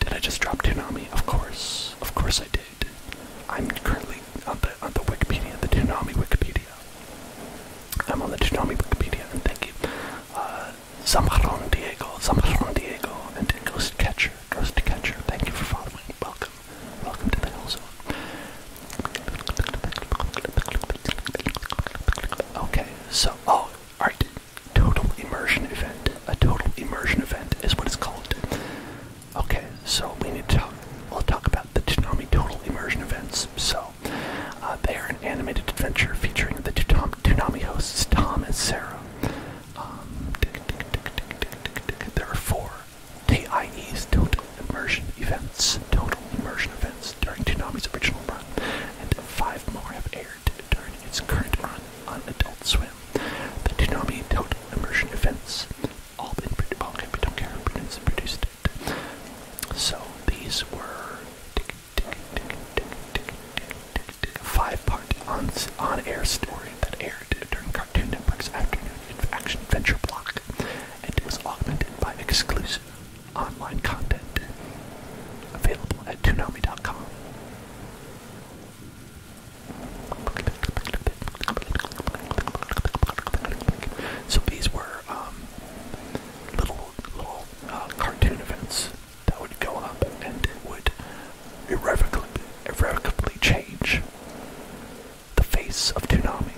Did I just drop Toonami? Of course. Of course I did. I'm currently on the on the Wikipedia, the Toonami Wikipedia. I'm on the Toonami Wikipedia, and thank you. Uh, Zamarron Diego, Zamarron Diego, and Ghost Catcher, Ghost Catcher. Thank you for following. Welcome, welcome to the Hell Zone. Okay, so oh, all right. Total immersion event. A total immersion event is what it's called. Okay, so we need to talk. We'll talk about the tsunami Total Immersion events. So, uh, they are an animated adventure featuring the Toonami hosts Tom and Sarah, there are four TIES total immersion events, total immersion events during Toonami's original run, and five more have aired during its current run on Adult Swim. The Toonami total immersion events, all been produced, okay, we don't care, produced, produced it. So these were, five-part on-air story that aired during Cartoon Network's afternoon action adventure block, and was augmented by exclusive online content available at Toonami.com. So these were um, little little uh, cartoon events that would go up and it would irrevocably, irrevocably change the face of Toonami.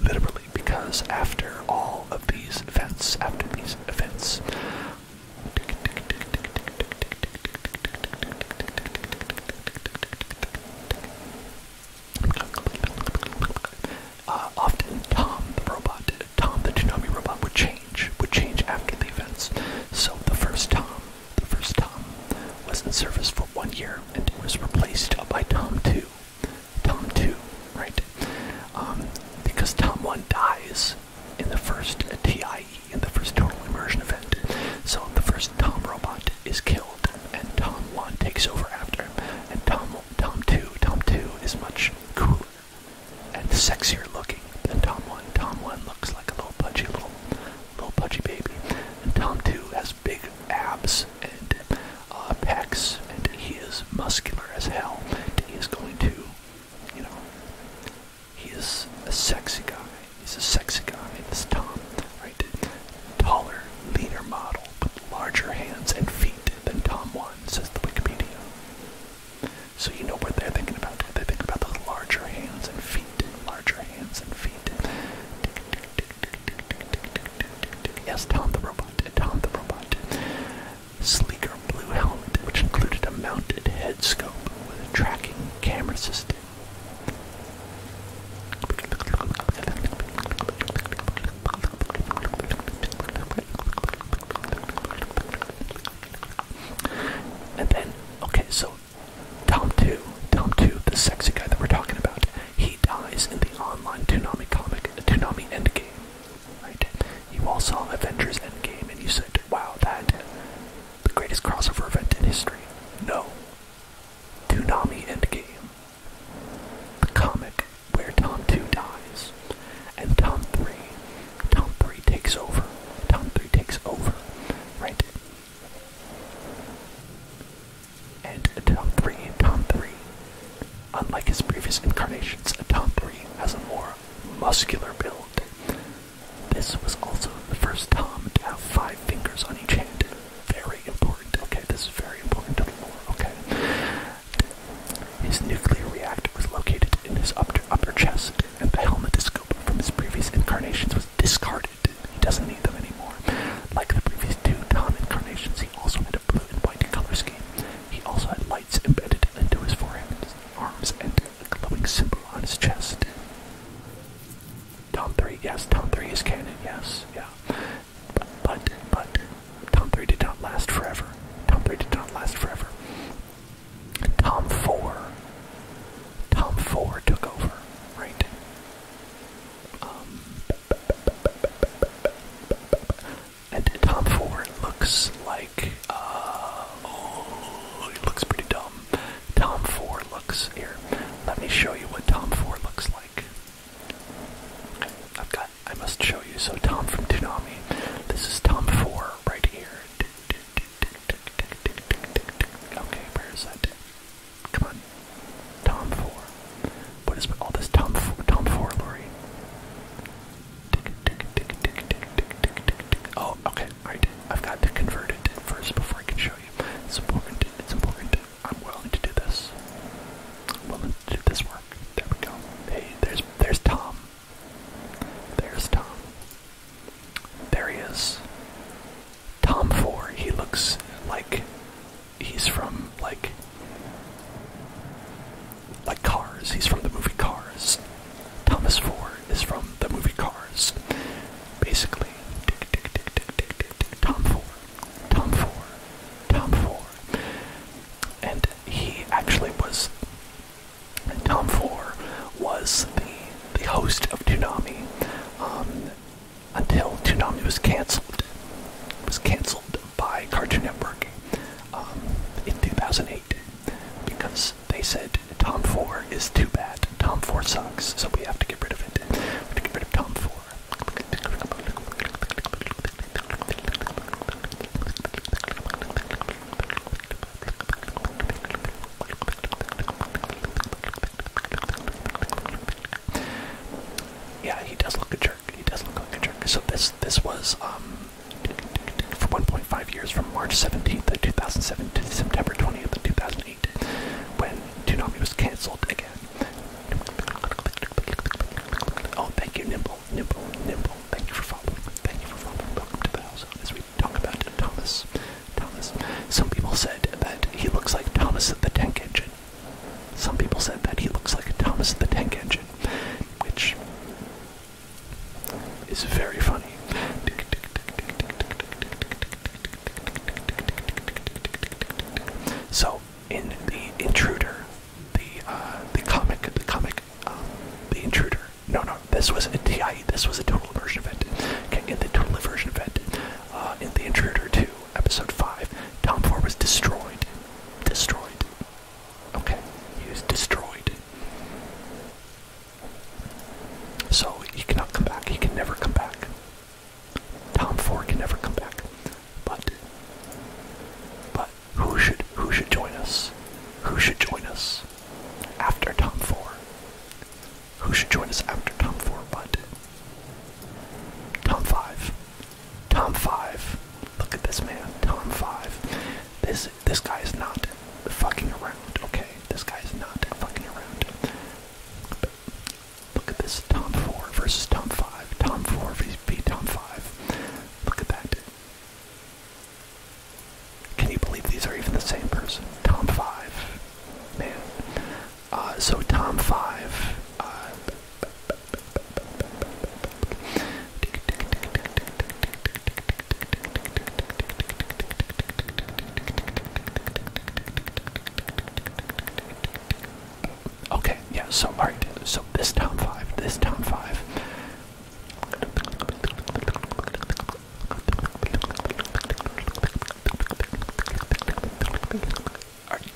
Literally, because after all of these events, after these events, uh, often Tom the robot, Tom the Toonami robot, would change would change after the events. So the first Tom, the first Tom, was in service for one year and was replaced by Tom Two. Tom Two, right? Um, because Tom One dies in the first TIE, in the first total immersion event. So the first Tom robot is killed, and Tom One takes over after, him. and Tom Tom Two, Tom Two is much cooler and sexier looking than Tom 1. Tom 1 looks like a little pudgy, little, little pudgy baby. And Tom 2 has big abs and uh, pecs, and he is muscular as hell. He is going to, you know, he is a sexy guy. He's a sexy guy. This Tom, right? Taller, leaner model with larger hands and feet than Tom 1, says the Wikipedia. So you know what they're thinking about. They think about the larger hands and feet, larger hands and feet. Yes, Tom the robot, Tom the robot. Sleeker blue helmet, which included a mounted head scope with a tracking camera system. And then, okay, so Tom 2, Tom 2, the sexy guy that we're talking about, he dies in the online Toonami comic, Toonami Endgame, right? You all saw Avengers Endgame and you said, wow, that, the greatest crossover event in history. No. Toonami Endgame. The comic where Tom 2 dies. And Tom 3 Tom three takes over. Tom three takes over. Right? And Tom 3, Tom 3, unlike his previous incarnations, Tom 3 has a more muscular build. This was also the first Tom to have five fingers on each hand. Very important. Okay, this is very important to the lore. Okay. His nuclear reactor was located in his upper, upper chest and the helmet scoop from his previous incarnations was discarded. He doesn't need them anymore. Like the previous two Tom incarnations, he also had a blue and white color scheme. He also had lights embedded into his forehead, his arms, and a glowing symbol on his chest. Tom 3, yes, Tom 3 is canon, yes, yeah. but, but, Tom 3 did not last forever. Tom 3 did not last forever. Tom Four. Tom Four took over, right? Um, and Tom Ford looks like, uh, oh, he looks pretty dumb. Tom four looks, here, let me show you what Tom four looks like. I've got, I must show you, so Tom from Toonami, this is Tom four right here. Okay, where is that? Come on. Tom 4. What is all this Tom 4, Tom 4 Lori? Oh, okay, alright. I've got to convert it first before I can show you. It's important, it's important. I'm willing to do this. I'm willing to do this work. There we go. Hey, there's there's Tom. There's Tom. There he is. Tom Four. He looks like he's from like like Cars. He's from the movie Cars. Thomas Four is from the movie Cars. Basically, Dick Dick Dick Dick Dick Dick Tom Four, Tom Four, Tom Four, and he actually was Tom Four was the, the host of Toonami um, until Toonami was canceled. was canceled by Cartoon Network um, in 2008 because they said Tom Four is too bad. Tom Four sucks, so we have to get rid of it. We have to get rid of Tom Four. Yeah, he does look a jerk. He does look like a jerk. So this this was um for 1.5 years from March 17th of 2007 to September 20th of 2008 when Toonami was cancelled again. Oh, thank you, Nimble, Nimble, Nimble. Thank you for following. Thank you for following. Welcome to the house as we talk about Thomas. Thomas. Some people said that he looks like Thomas the Tank Engine. Some people said that he looks like Thomas the Tank Engine, which is very funny. So in the intruder, the uh, the comic, the comic, um, the intruder, no, no, this was a DI. This was a total immersion event. in the total immersion event, uh, in the Intruder 2, episode 5, Tom Four was destroyed. Destroyed. Okay, he was destroyed. So he cannot come back. He can never come back. Tom Four can never come back. But, but who should who should join us? Who should join us after Tom Four? Who should join us after Tom 4? but Tom 5. Tom 5. Look at this man. Tom 5. This this guy is not fucking around, okay? This guy is not fucking around. But look at this. Tom 4 versus Tom 5. Tom 4 v Tom 5. Look at that. Can you believe these are even the same person? Tom Five, man. Uh, so Tom Five. Uh, okay, yeah, so alright, so this Tom 5, this Tom 5.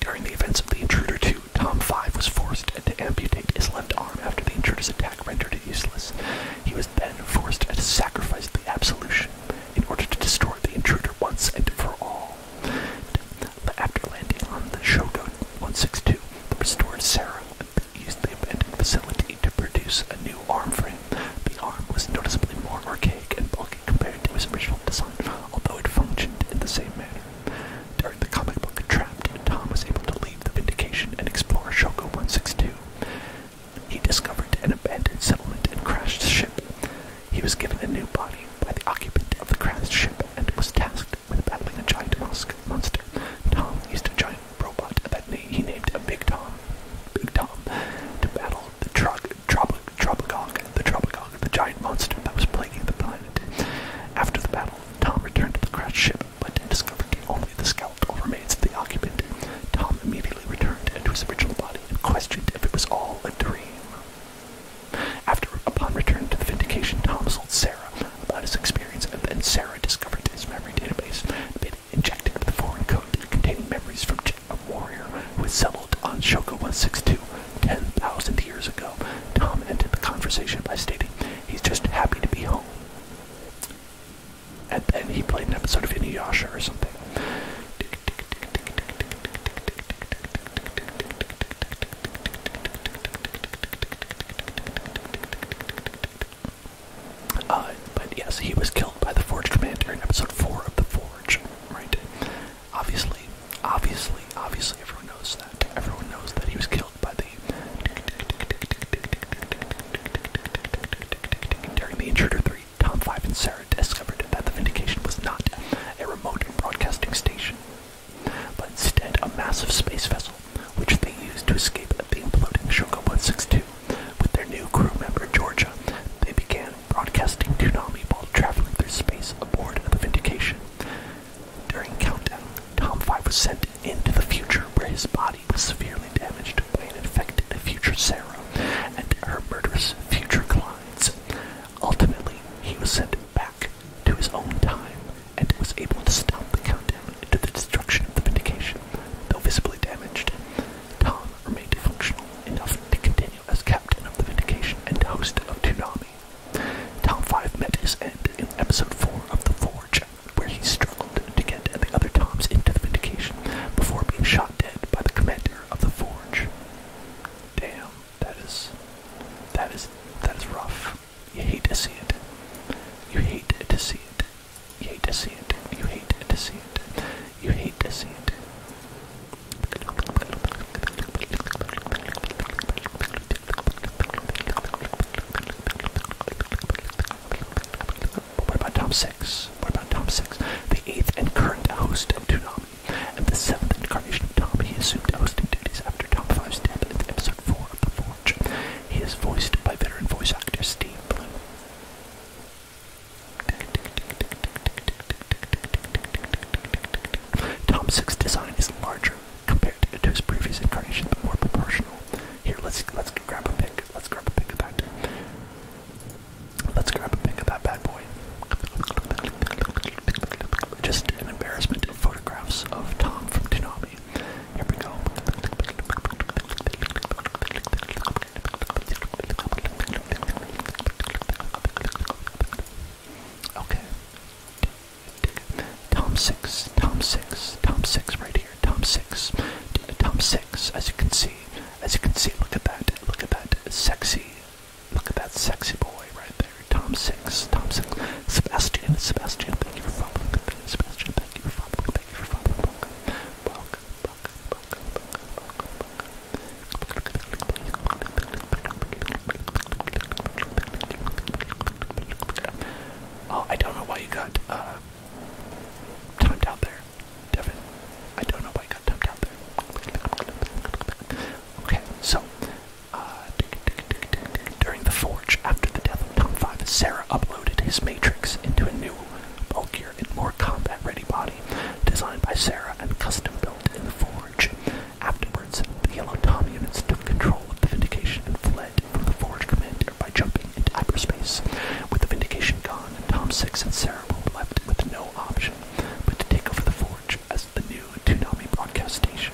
During the events of the Intruder 2, Tom 5 was forced to amputate his left arm after the intruder's attack rendered it useless. He was then forced to sacrifice the absolution in order to destroy the intruder once and for all. After landing on the Shogun 162, the restored Sarah used the abandoned facility to produce a new arm frame. The arm was noticeably more archaic and bulky compared to its original design, although it functioned in the same manner. During the comic book Trapped, Tom was able to leave the Vindication and explore Shoko 162. He discovered an abandoned settlement and crashed the ship. He was given a new body by the occupant of the crashed ship and was tasked with battling a giant monster. Tom used a giant robot that he named Big Tom. Big Tom to battle the Trog Troblogog, the Troblogog, the giant monster that was plaguing the planet. After the battle, Tom returned to the crashed ship, but discovered only the skeletal remains of the occupant. Tom immediately returned to his original body and questioned if it was all a dream. After, upon return to the Vindication, Tom told Sarah about his experience, and then Sarah discovered his memory database, injected with a foreign code containing memories from a warrior who was settled on Shoko 162 10,000 years ago. Tom ended the conversation by stating, He's just happy to be home. And then he played an episode of Inuyasha or something. Uh, but yes, he was killed by the Forge Commander in episode 4 of The Forge, right? Obviously, obviously, obviously, everyone knows that. Everyone knows that he was killed by the. During the Intruder 3, Tom 5 and Sarah discovered that the Vindication was not a remote broadcasting station, but instead a massive space vessel, which they used to escape the imploding Shoka 162. With their new crew member, Georgia, they began broadcasting Toonami while traveling through space aboard the Vindication. During Countdown, Tom 5 was sent into the future where his body was severely damaged by an infected future Sarah and her murderous future clients. Ultimately, he was sent back to his own time and was able to stop the countdown into the destruction of the Vindication, though visibly damaged. Tom remained functional enough to continue as captain of the Vindication and host of Toonami. Tom 5 met his end in episode 4 of The Forge, where he struggled to get the other Toms into the Vindication before being shot dead by the commander of The Forge. Damn, that is. that is. that is rough. You hate to see it. You hate to see it. You hate to see it. You hate to see it. You hate to see it. What about Tom six? What about Tom six? The eighth and current host of Toonami, and the seventh incarnation of Tom, he assumed hosting duties after Tom Five's death in episode four of The Forge. He is voiced by veteran voice actor Steve Bloom. Tom 6's design is larger compared to his previous incarnation, but more proportional. Here, let's let's grab a pic. Let's grab a pic of that. Let's grab a pic of that bad boy. Just an embarrassment of photographs of Tom from Tsunami. Here we go. Okay. Tom six, Tom six, Tom six right here. Tom six, Tom six. As you can see, as you can see, look at that, look at that sexy, look at that sexy boy right there. Tom six, Tom six. Sebastian, Sebastian, thank you for following. Sebastian, thank you for following. Thank you for following. welcome, Oh, I don't know why you got uh, timed out there, Devin. I don't know why you got timed out there. Okay, so uh, during the forge, after the death of Tom Five, Sarah uploaded his matrix into a new bulkier heavier and more combat-ready body, designed by Sarah and custom-built in the forge. Afterwards, the Yellow Tommy units took control of the Vindication and fled from the forge commander by jumping into hyperspace. With the Vindication gone, Tom Six and Sarah were left with no option but to take over the forge as the new Toonami broadcast station.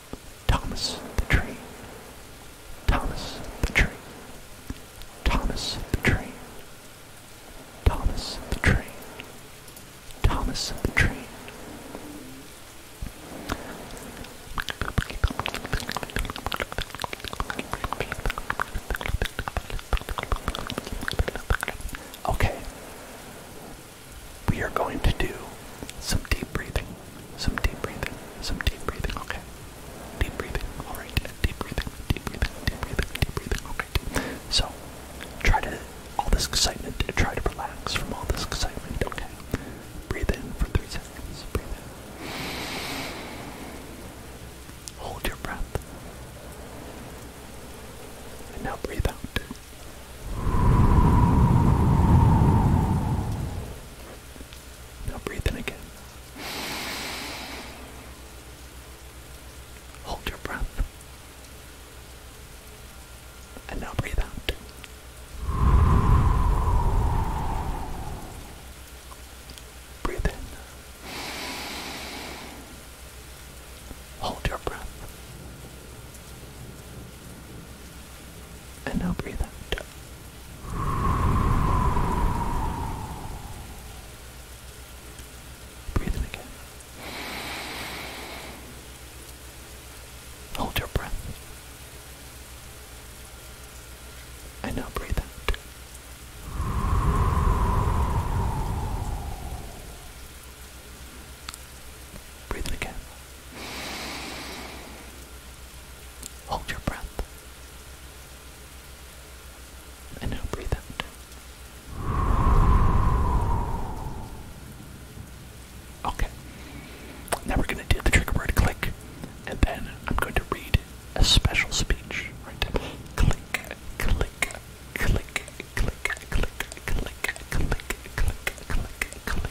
Thomas the Train. Thomas the Train. Thomas the Train. Thomas the Train. Thomas the Train. Okay we are going to do some deep breathing. Some deep breathing. Some deep breathing. Okay. Deep breathing. Alright. Deep breathing. Deep breathing. Deep breathing. Deep breathing. Okay. So try to all this excitement. Try to relax from all this excitement. Okay. Breathe in for three seconds. Breathe in. Hold your breath. And now breathe out. Now breathe in again. Hold your breath. And now breathe out. Breathe in. Hold your breath. And now breathe out. Breathe in again. Hold your breath. And now breathe out. Breathe in again. Hold your breath. And now breathe out. Okay. Now we're going to do the trigger word click, and then I'm going to read a special speech. Right? click, click, click, click, click, click, click, click, click, click, click,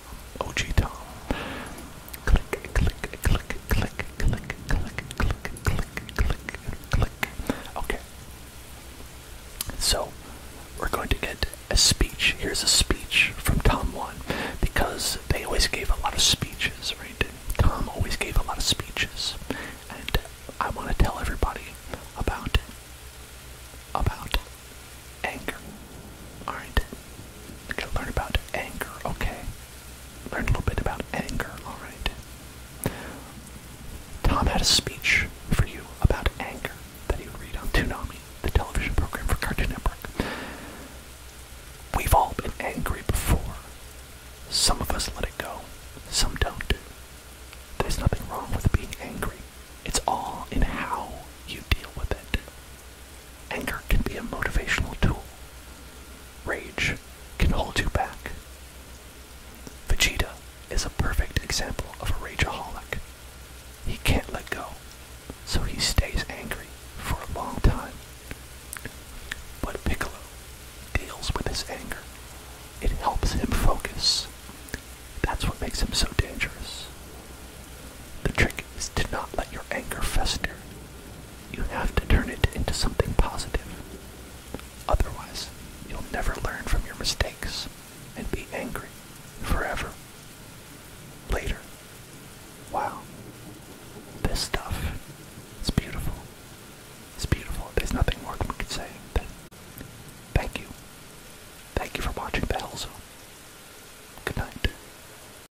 yeah, OG Tom. Click, click, click, click, click, click, click, click, click, click. Okay. So, we're going to get a speech. Here's a speech from Tom 1 because they always gave a lot of speeches, right? Tom always gave a lot of speeches. And I want to tell everybody about about anger. Alright? We're to learn about anger, okay. Learn a little bit about anger, alright. Tom had a speech for you about anger that he would read on Toonami, the television program for Cartoon Network. We've all been angry before. Some of us let it go, some don't. There's nothing wrong with being angry. It's all in how you deal with it. Anger can be a motivational tool. Rage can hold you back. Vegeta is a perfect example of a rageaholic. He can't let go, so he stays angry for a long time. But Piccolo deals with his anger. It helps him focus. That's what makes him so dangerous. The trick is to not let your anger fester. You have to turn it into something positive. Otherwise, you'll never learn from your mistakes and be angry forever. Later. Wow. This stuff is beautiful. It's beautiful. There's nothing more that we could say. thank you. Thank you for watching the Hellzone. Good night.